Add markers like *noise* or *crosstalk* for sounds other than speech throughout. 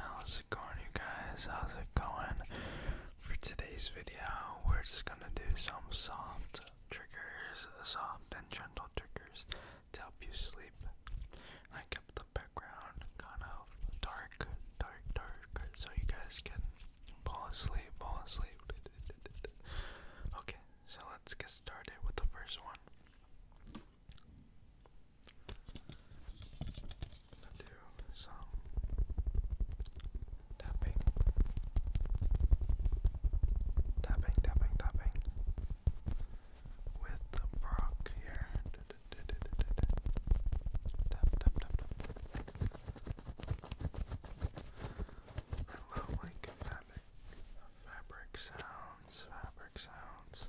How's it going, you guys? How's it going? For today's video, we're just gonna do some soft triggers, soft and gentle triggers to help you sleep. I kept the background, kind of dark, dark, dark, so you guys can fall asleep, fall asleep. Okay, so let's get started with the first one. do some tapping, tapping, tapping, tapping with the Brock here. I love like fabric sounds, fabric sounds.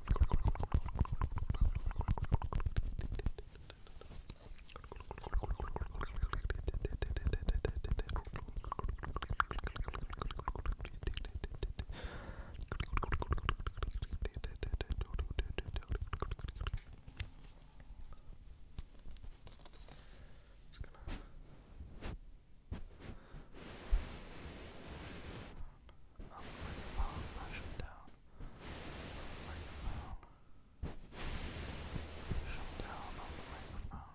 I'm gonna pop, push it down microphone. Push down on the microphone.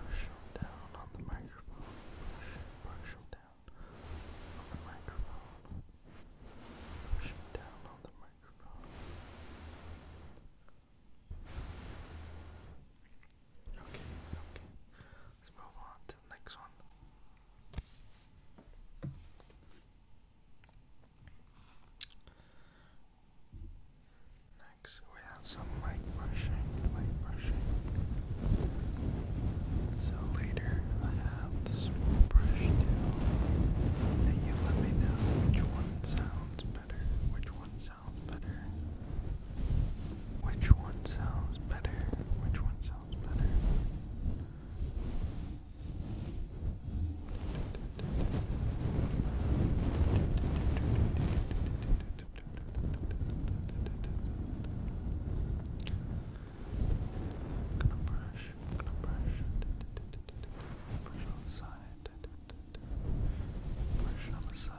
Push down on the microphone. Push, push down on the microphone. Push down on the microphone. Okay, okay. Let's move on to the next one. Next, we have some light brushing, light brushing. So later, I have the small brush too, and you let me know which one sounds better, which one sounds better, which one sounds better, which one sounds smells better. gonna brush, gonna brush, brush on the side, brush on the side.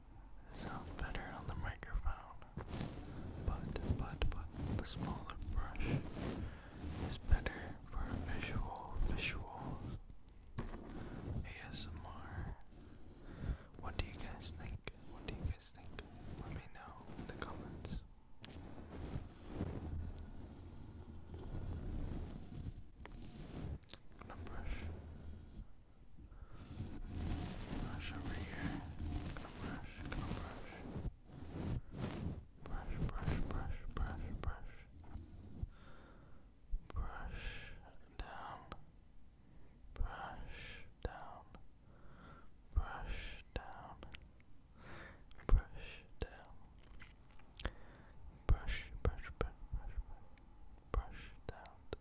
sound better on the microphone, but, but, but the smaller brush is better for visual, visual ASMR. What do you guys think? What do you guys think? Let me know in the comments. i brush Brush over here. Gonna brush, gonna brush. Brush, brush, brush, brush, brush. Brush down. Brush down. Brush down. Brush down. Brush, brush, brush, brush, brush, brush down.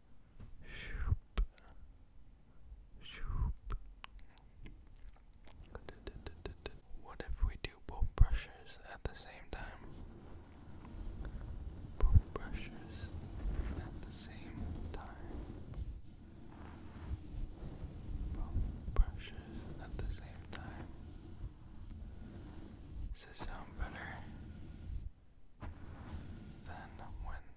Shoop. Shoop. What if we do both brushes at the same time? Both brushes at the same time. Both brushes at the same time. Does this sound better than when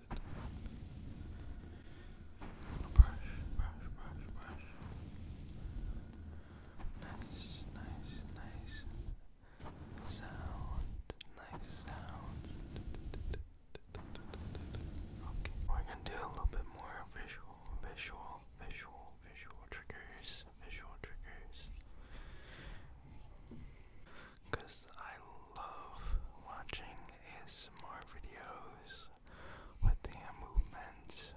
Brush, brush, Okay, we're gonna do a little bit more visual, visual, visual, visual triggers, visual triggers because I love watching his ASMR videos with the movements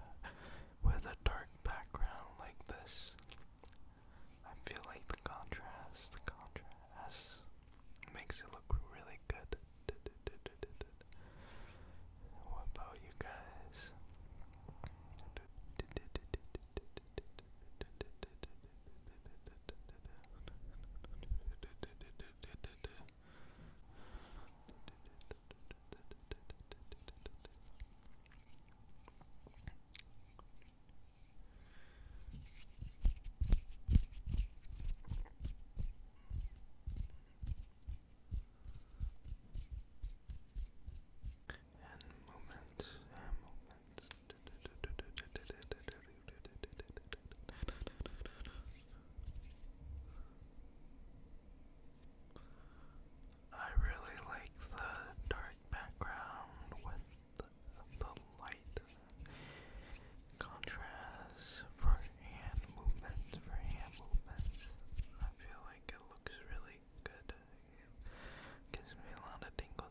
with a dark background like this. I feel like the contrast, the contrast makes it look really good. What about you guys? *laughs* and moments and moments I really like the dark background with the, light contrast for hand movements, for hand movements. I feel like it looks really good. gives me a lot of tingles.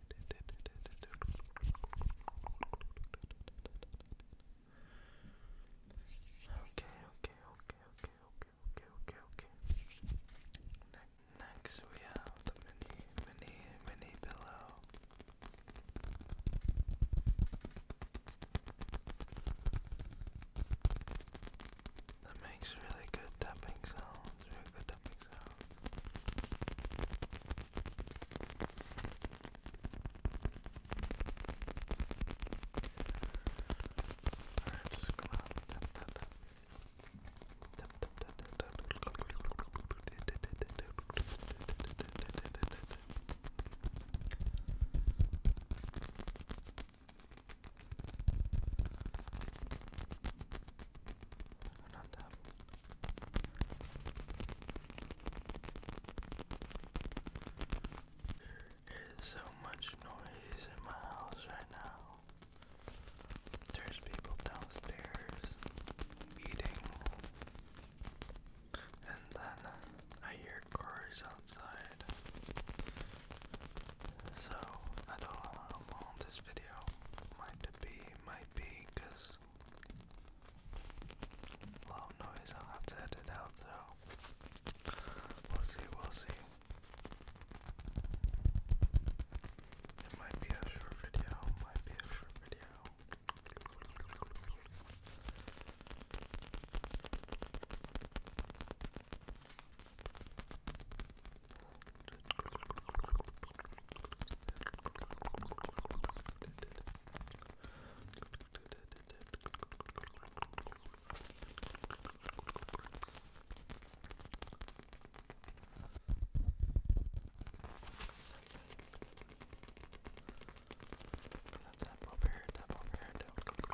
Okay, okay, okay, okay, okay, okay, okay, okay. next we have the mini, mini, mini pillow. That makes really good tapping sounds, really good tapping sounds. Alright, just come on. Tap, tap, tap. Tap, tap, tap, tap, tap. Alright, there is so much noise in my house right now. There's people downstairs eating, and then I hear cars outside. So I don't know how long this video might be, might be, cause noise. Loud noise, I'll have to edit out, so we'll see, we'll see. It might be a short video, might be a short video. Tap over here, tap over here, tap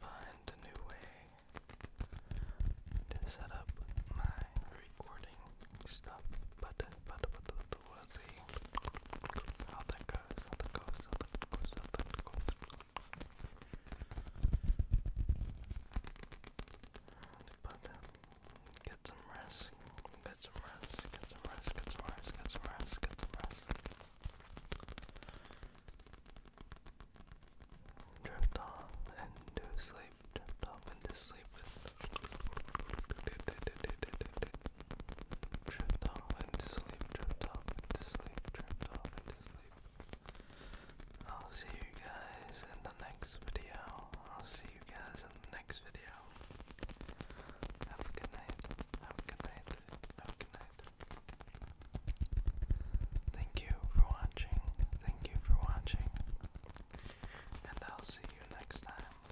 find a new way to set up my recording stuff. But but but but we'll see how that get some rest, get some rest, get some rest, get some rest, get some rest. Get some rest. Drift off into sleep, drift off into sleep Drift off into sleep, drift off into sleep, drift off into sleep. I'll see you guys in the next video. I'll see you guys in the next video. Have a good night. Have a good night good night. Thank you for watching. Thank you for watching. And I'll see you next time.